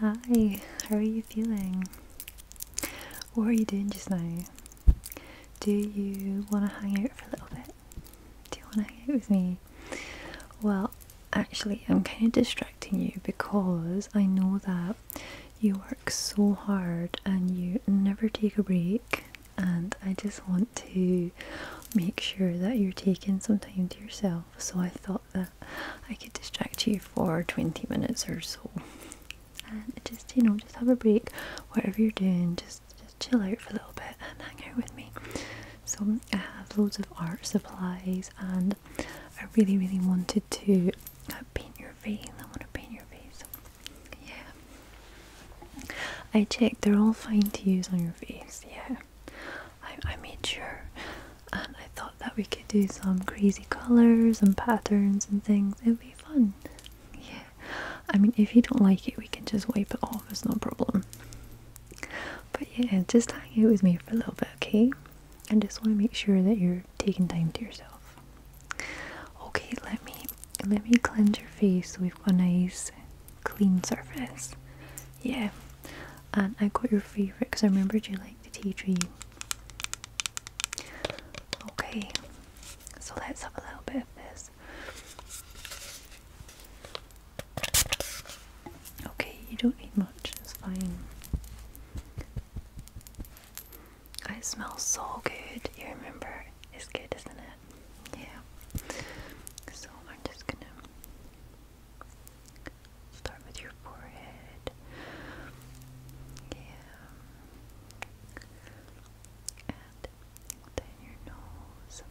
Hi, how are you feeling? What are you doing just now? Do you want to hang out for a little bit? Do you want to hang out with me? Well, actually, I'm kind of distracting you because I know that you work so hard and you never take a break, and I just want to make sure that you're taking some time to yourself. So I thought that I could distract you for 20 minutes or so. And just, you know, just have a break. Whatever you're doing, just, just chill out for a little bit and hang out with me. So I have loads of art supplies and I really, really wanted to uh, paint your face. I want to paint your face. Yeah. I checked, they're all fine to use on your face, yeah. I, made sure. And I thought that we could do some crazy colours and patterns and things. It would be fun. Yeah. I mean, if you don't like it, we can just wipe it off. It's no problem. But yeah, just hang out with me for a little bit, okay? I just want to make sure that you're taking time to yourself. Okay, let me let me cleanse your face with we a nice clean surface. Yeah. And I got your favourite because I remembered you like the tea tree. Okay. So let's have a little bit of this. Okay, you don't need much, it's fine. It smells so good. You remember? It's good, isn't it? Yeah. So I'm just gonna start with your forehead. Yeah. And down your nose.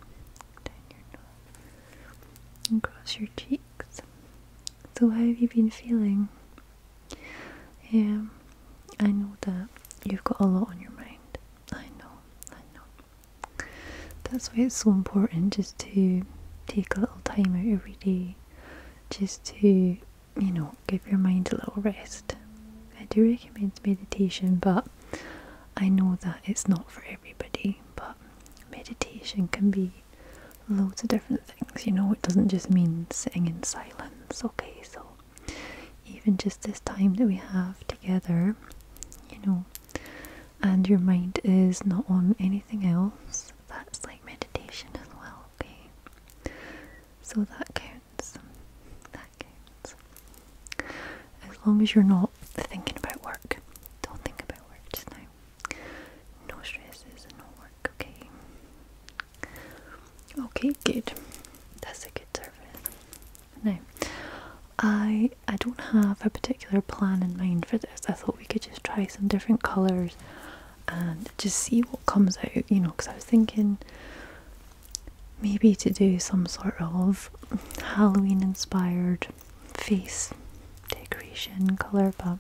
Down your nose. And cross your cheeks. So how have you been feeling? Yeah, I know that you've got a lot on your mind. I know, I know. That's why it's so important just to take a little time out every day just to, you know, give your mind a little rest. I do recommend meditation, but I know that it's not for everybody. But meditation can be loads of different things, you know, it doesn't just mean sitting in silence, okay? So even just this time that we have together, you know, and your mind is not on anything else, that's like meditation as well, okay? So that counts. That counts. As long as you're not thinking about work. Don't think about work just now. No stresses and no work, okay? Okay, good. That's a good start. Now, I I don't have a particular plan in mind for this. I thought we could just try some different colours and just see what comes out, you know, because I was thinking maybe to do some sort of Halloween inspired face decoration colour, but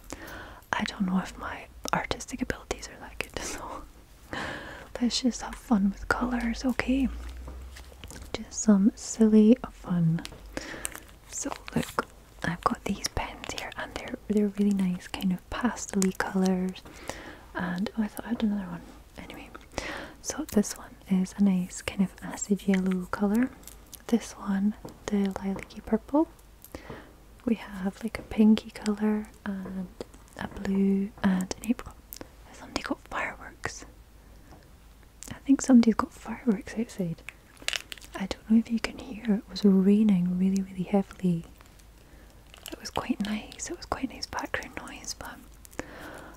I don't know if my artistic abilities are that good, so Let's just have fun with colours, okay? Just some silly fun. So look, I've got these pens here and they're they're really nice kind of pastely colours. And oh, I thought I had another one. Anyway, so this one is a nice kind of acid yellow colour. This one, the lilac purple. We have like a pinky colour and a blue and an apricot. Somebody got fireworks. I think somebody's got fireworks outside. I don't know if you can hear, it was raining really, really heavily. It was quite nice, it was quite nice background noise, but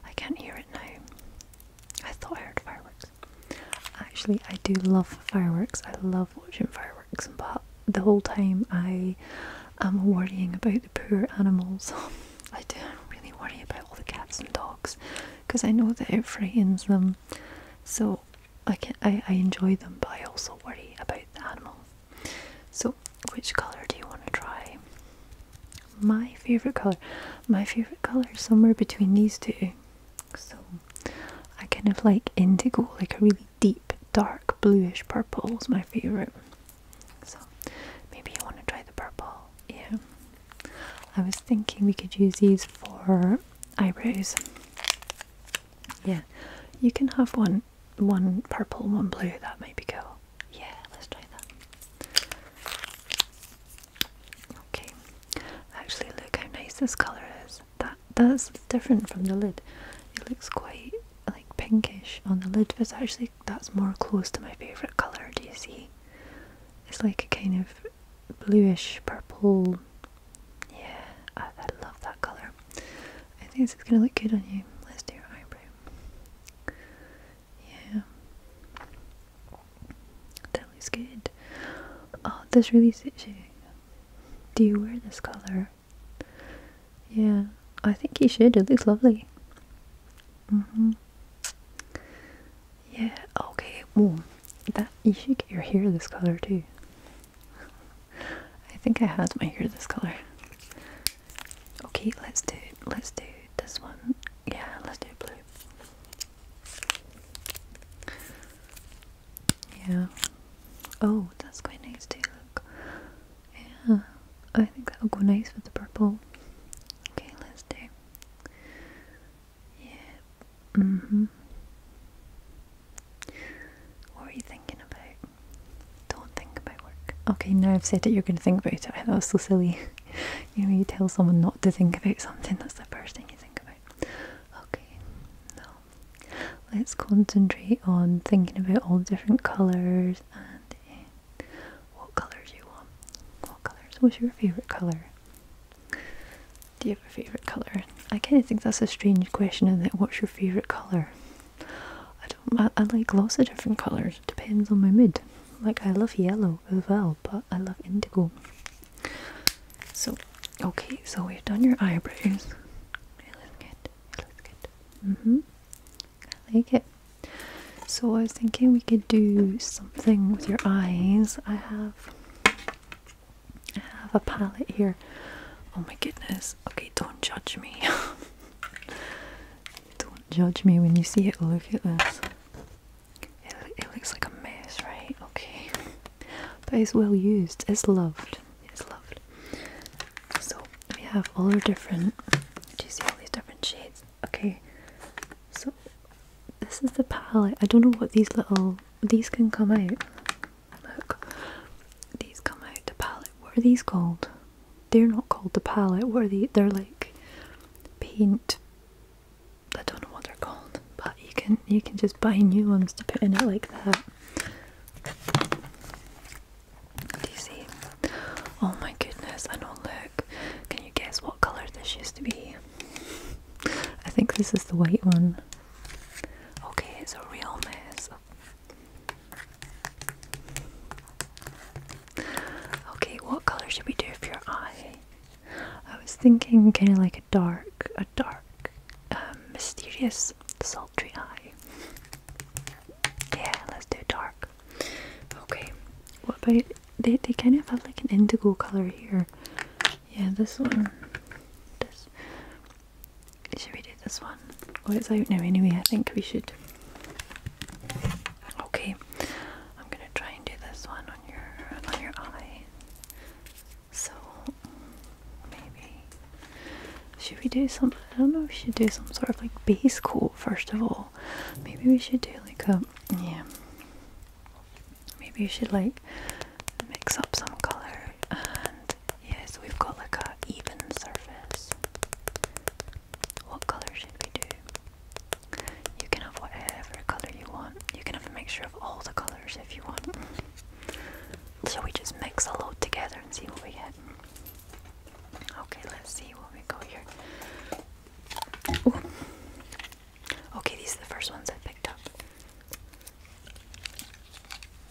I can't hear it now. I thought I heard fireworks. Actually, I do love fireworks, I love watching fireworks, but the whole time I am worrying about the poor animals. I don't really worry about all the cats and dogs because I know that it frightens them. So I can I, I enjoy them, but I also worry about the animal. So which colour do you want to try? My favourite colour. My favourite colour is somewhere between these two. So I kind of like indigo, like a really deep dark bluish purple is my favourite. So maybe you want to try the purple. Yeah. I was thinking we could use these for eyebrows. Yeah. You can have one one purple, one blue, that might be cool. Yeah, let's try that. Okay. Actually look how nice this colour is. That that's different from the lid. It looks quite like pinkish on the lid, but it's actually that's more close to my favourite colour, do you see? It's like a kind of bluish purple. Yeah, I, I love that colour. I think this is going to look good on you. Let's do your eyebrow. Yeah. That looks good. Oh, this really suits you. Do you wear this colour? Yeah, I think you should. It looks lovely. Mm -hmm. Yeah, okay. Well, that you should get your hair this color too. I think I had my hair this color. Okay, let's do let's do this one. Yeah, let's do blue. Yeah. Oh, that's quite nice too. Look, yeah, I think that'll go nice with the purple. Okay, let's do. Yeah. Mm hmm. What are you thinking about? Don't think about work. Okay, now I've said it, you're going to think about it. That was so silly. you know, you tell someone not to think about something, that's the first thing you think about. Okay, no. Let's concentrate on thinking about all the different colours and. Eh, what colors you want? What colors? What's your favourite colour? Do you have a favourite colour? I kind of think that's a strange question in that what's your favourite colour? I don't, I, like lots of different colours, depends on my mood. Like I love yellow as well, but I love indigo. So, okay, so we've done your eyebrows. It looks it looks good. Mm hmm I like it. So I was thinking we could do something with your eyes. I have I have a palette here. Oh my goodness. Okay, don't judge me. don't judge me when you see it. Look at this. It, it looks like a mess, right? Okay. But it's well used. It's loved. It's loved. So we have all our different. Do you see all these different shades? Okay, so this is the palette. I don't know what these little. These can come out. Look, these come out. The palette. What are these called? They're not called the palette. What are they? They're like paint. I don't know what they're called, but you can you can just buy new ones to put in it like that. Do you see? Oh my goodness, I know, oh, look. Can you guess what colour this used to be? I think this is the white one. Okay, it's a real mess. Okay, what colour should we do for your eye? I was thinking kind of like a dark, a dark, um, mysterious, sultry eye. Yeah, let's do dark. Okay. What about they they kind of have like an indigo colour here. Yeah, this one. This should we do this one? Well it's out now anyway, I think we should. Okay. I'm gonna try and do this one on your on your eye. So maybe should we do some? I don't know. we should do some sort of like base coat first of all. Maybe we should do like a yeah. Maybe we should like mix up some color and yeah. So we've got like a even surface. What color should we do? You can have whatever color you want. You can have a mixture of all the colors if you want. So we just mix a load together and see what we get. Okay, let's see what we got here. Okay, these are the first ones I picked up.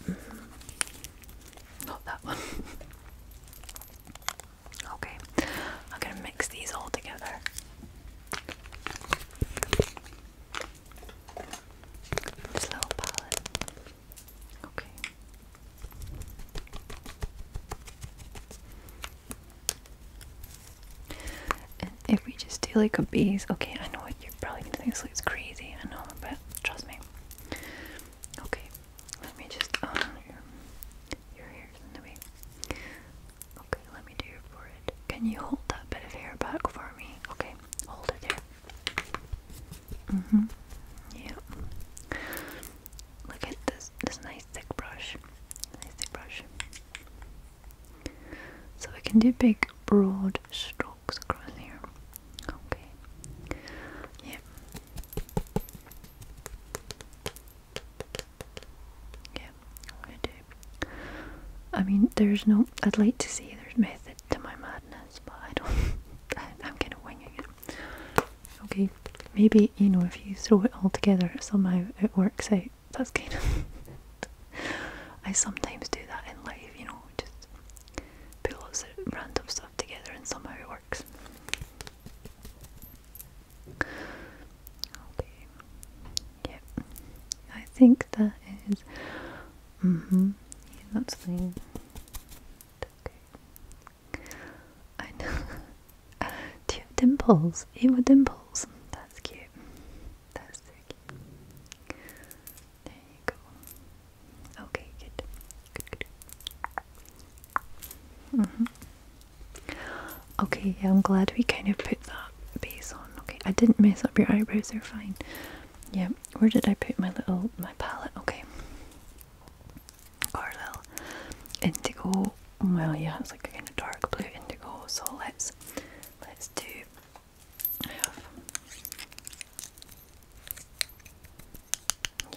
Mm-hmm. Not that one. okay, I'm gonna mix these all together. This little palette. Okay. if we just do like a base, okay, I know what you're probably going this looks crazy, I know, but trust me. Okay, let me just, your, your hair's in Okay, let me do your forehead. Can you hold that bit of hair back for me? Okay, hold it there. Mm-hmm. Yeah look at this this nice thick brush. Nice thick brush. So we can do big broad strokes across here. Okay. Yeah. Yeah, I'm gonna do. I mean there's no I'd like to see there's method to my madness, but I don't I, am gonna wing it. Okay, maybe you know if you throw it all together, somehow it works out. That's kind of. I sometimes do that in life, you know, just put lots of random stuff together and somehow it works. Okay, yep. I think that is. Mm hmm, yeah, that's fine. Okay. I know. Do you have dimples? You have dimples. That's cute. That's so cute. There you go. Okay, good. Good, good. Mm-hmm. Okay, yeah, I'm glad we kind of put that base on. Okay, I didn't mess up your eyebrows, they're fine. Yeah, where did I put my little, my palette? Okay or indigo. Well, yeah, it's like a kind of dark blue indigo. So let's let's do. I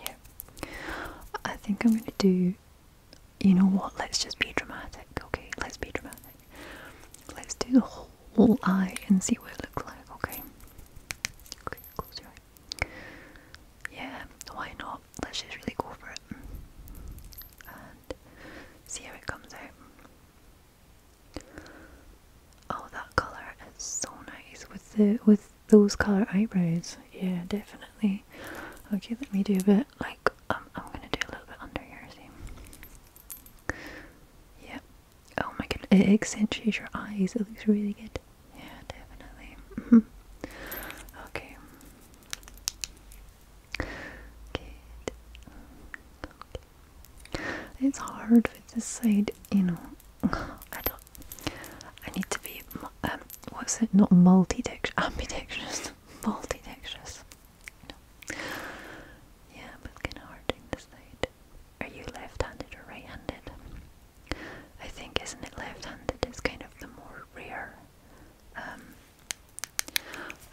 yeah. I think I'm gonna do. You know what? Let's just be dramatic. Okay, let's be dramatic. Let's do the whole eye and see what it looks like. Okay. Okay. Close your eyes yeah, why not? Let's just really go for it and see how it comes out. Oh, that colour is so nice with the with those colour eyebrows. Yeah, definitely. Okay, let me do a bit like um, I'm gonna do a little bit under your See? Yeah. Oh my god, it accentuates your eyes. It looks really good. Yeah, definitely. Mm-hmm. okay. Good. Okay. It's hard with this side, you know. I don't. I need to be. Um, what's it? Not multi-dextrous, ambidextrous, multi-dextrous. Yeah, but kind of hard doing this Are you left-handed or right-handed? I think isn't it left-handed is kind of the more rare. Um,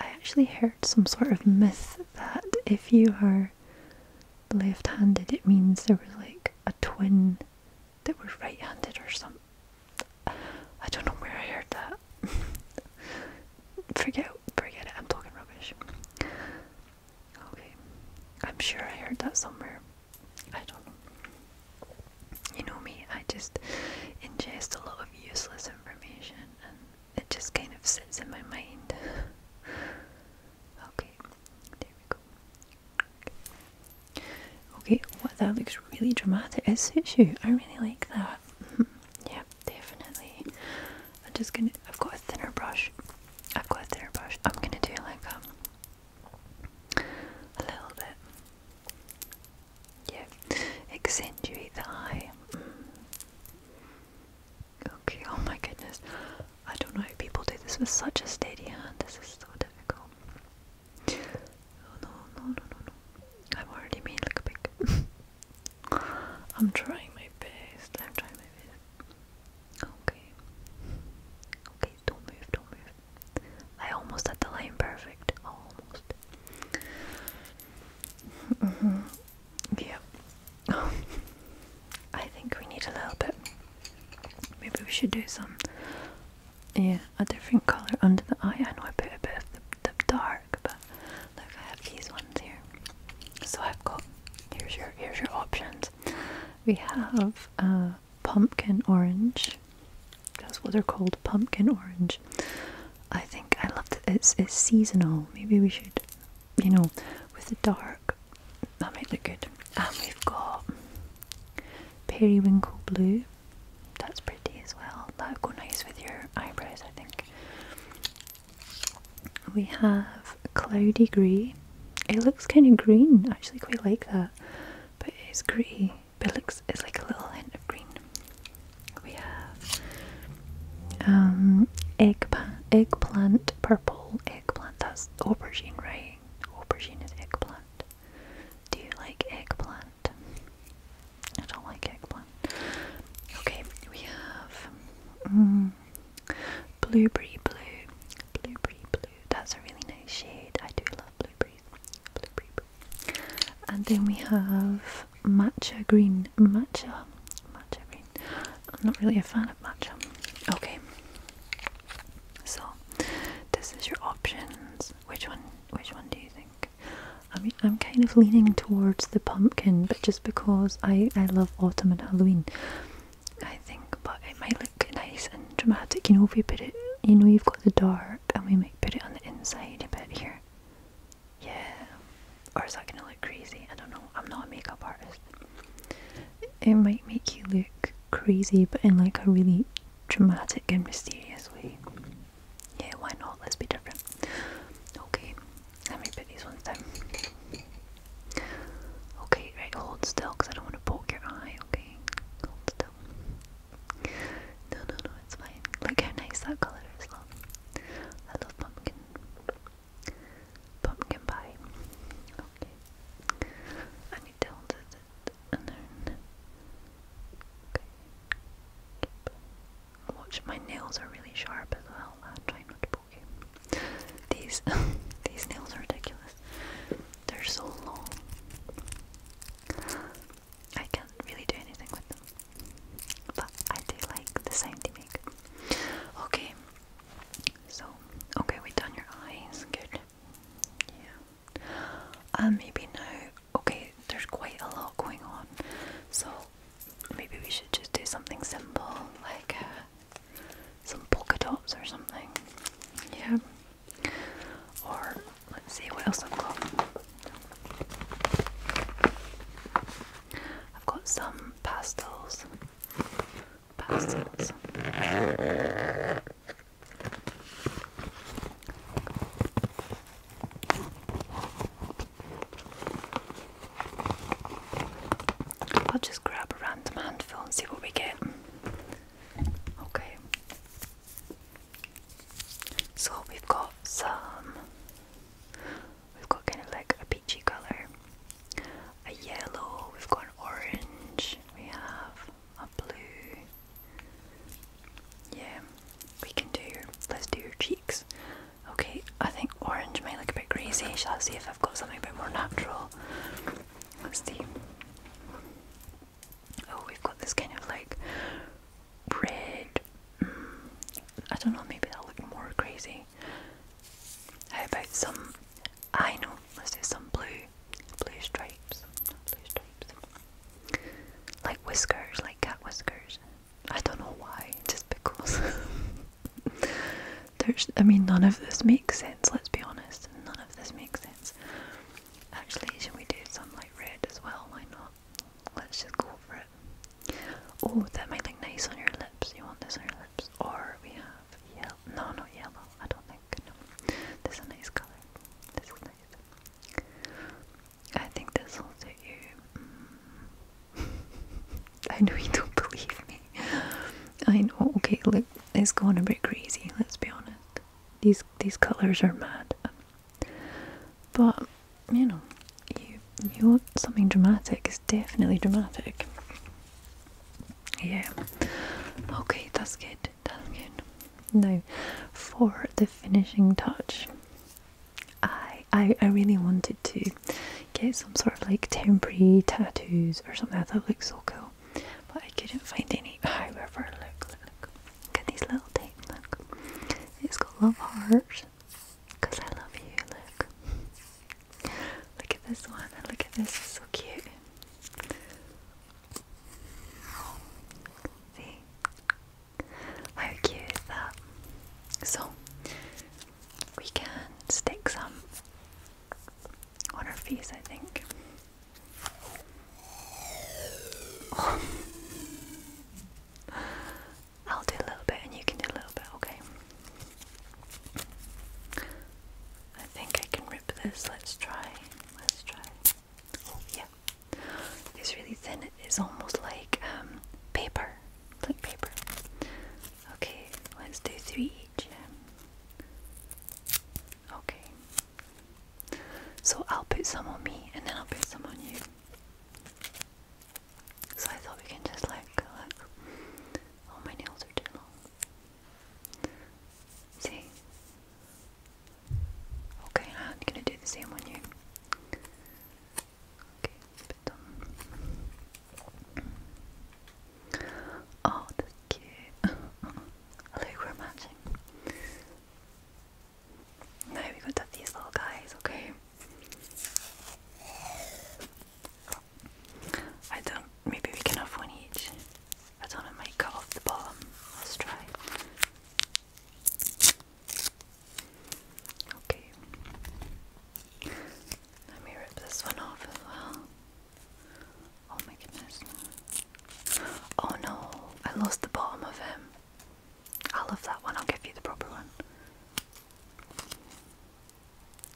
I actually heard some sort of myth that if you are left-handed, it means there was like a twin that was right-handed or something. I don't know where I heard that. forget, forget it. I'm talking rubbish. Okay. I'm sure I heard that somewhere. I don't know. You know me, I just ingest a lot of useless information and it just kind of sits in my mind. okay, there we go. Okay, okay that looks really dramatic. It suits you. I really like that. yeah, definitely. I'm just gonna, I've got a thinner brush. I've got a thinner brush. I'm gonna do like a um, a little bit. Yeah. Accentuate the eye. Okay, oh my goodness. I don't know how people do this with such a steady hand. This is so difficult. no, no, no, no, no. I've already made like a big. I'm trying my best. I'm trying my best. Okay. Okay don't move, don't move. I almost had the line perfect. Almost. Mm -hmm. Yeah. I think we need a little bit. Maybe we should do some. Yeah, a different colour under the eye. I know I put a bit of the, the dark, but look, I have these ones here. So I've got. Here's your here's your options. We have uh, pumpkin orange. That's what they're called, pumpkin orange. I think I love that it's it's seasonal. Maybe we should, you know, with the dark, that might look good. And we've got periwinkle blue. That's pretty as well. That'll go nice with your eyebrows, I think. We have cloudy grey. It looks kind of green. actually quite like that. But it's grey. But looks it's like a little hint of green. We have um egg eggplant purple eggplant. That's aubergine, right? Aubergine is eggplant. Do you like eggplant? I don't like eggplant. Okay, we have um, blueberry blue, blueberry blue. That's a really nice shade. I do love blueberry. Blueberry. Blue. And then we have matcha green. Matcha. Matcha green. I'm not really a fan of matcha. Okay. So this is your options. Which one? Which one do you think? I I'm kind of leaning towards the pumpkin, but just because I I love autumn and Halloween, I think, but it might look nice and dramatic, you know, if we put it, you know, we have got the dark and we might put it on the inside a bit here. Yeah. Or is that going to look crazy? I don't know. I'm not a makeup artist. It might make you look crazy, but in like a really dramatic and mysterious way. Yeah, why not? Let's be different. Okay, let me put these ones down. Okay, right, hold still because I don't want to poke your eye, okay? Hold still. No, no, no, it's fine. Look how nice that colour is, I love pumpkin. Pumpkin pie. Okay. I need to it and then. Okay. Keep. Watch, my nails are really sharp as well. i not to these these nails are ridiculous. They're so long. I can't really do anything with them. But I do like the same they make. Okay. So, okay, we've done your eyes. Good. Yeah. And um, maybe now, okay, there's quite a lot going on. So, maybe we should just do something simple like a uh, some polka dots or something. Yeah. Or let's see what else I've got. I've got some pastels. Pastels. I'll just grab a random handful and see what we get. Okay. So we've got some. We've got kind of like a peachy colour, a yellow, we've got an orange, we have a blue. Yeah, we can do your. Let's do your cheeks. Okay, I think orange might look a bit crazy. Shall I see if I've got something a bit more natural? Let's see. Oh, we've got this kind of like red. Mm, I don't know, maybe that'll look more crazy. How about some. I know, let's do some blue. Blue stripes. Blue stripes. Like whiskers, like cat whiskers. I don't know why, just because. There's, I mean, none of this makes sense, let's be honest. None of this makes sense. Actually, should we do some like red as well? Why not? Let's just go for it. Oh, that might look nice on your lips. You want this on your lips? Or we have yellow. No, not yellow. I don't think. No. This is a nice colour. This is nice. I think this will suit you. Mm. I know you don't believe me. I know. Okay, look, it's gone a bit crazy. Let's be honest. These these colors are mad. But you know, you you want something dramatic? It's definitely dramatic. Yeah. Okay, that's good. That's good. Now, for the finishing touch, I I I really wanted to get some sort of like temporary tattoos or something. I thought looked so cool but I couldn't find any. However, look, look, look. Look at these little tape, look. It's got love hearts. Because I love you, look. Look at this one and look at this, it's so cute. See? How cute is that? So, we can stick some on our face, I think. I'll do a little bit and you can do a little bit, okay? I think I can rip this. Let's try. Let's try. Oh, yeah. It's really thin. It's almost like um, paper. Like paper. Okay, let's do three each. Okay. So I'll put some on me and then I'll put some on you. So I thought we can just like look. Oh my nails are too long. See? Okay, I'm gonna do the same on you. Okay, put Oh, that's cute. Look, we're matching. Now we got these little guys, okay? I don't, maybe we can have one each. I don't know, I cut off the bottom. Let's try. Okay. Let me rip this one off as well. Oh my goodness. Oh no, I lost the bottom of him. I love that one, I'll give you the proper one.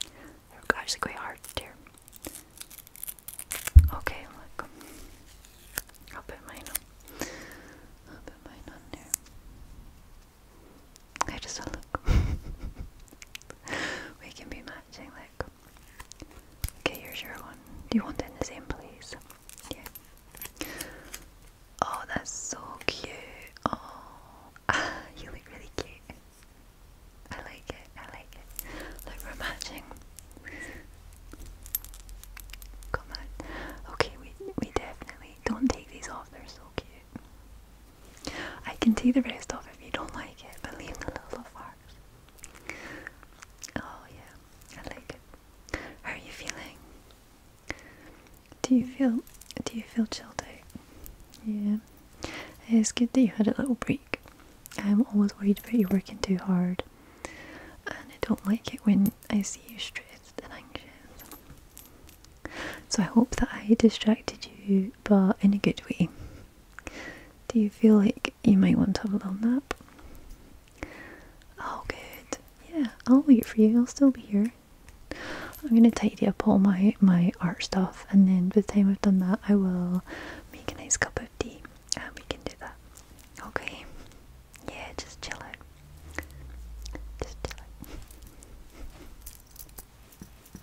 They're actually quite hard here. Okay, look. I'll put mine on. I'll put mine on there. I just look. we can be mad like okay here's your one do you want it in the same please? yeah oh that's so cute oh you look really cute I like it I like it look we're matching come on okay we we definitely don't take these off they're so cute I can take the rest off if you don't like it, but leave the little farts. Oh yeah, I like it. How are you feeling? Do you feel do you feel chilled out? Yeah. It's good that you had a little break. I'm always worried about you working too hard. And I don't like it when I see you stressed and anxious. So I hope that I distracted you, but in a good way. Do you feel like you might want to have a little nap? Oh, good. Yeah, I'll wait for you. I'll still be here. I'm gonna tidy up all my my art stuff, and then by the time I've done that, I will make a nice cup of tea, and we can do that. Okay. Yeah, just chill out. Just chill out.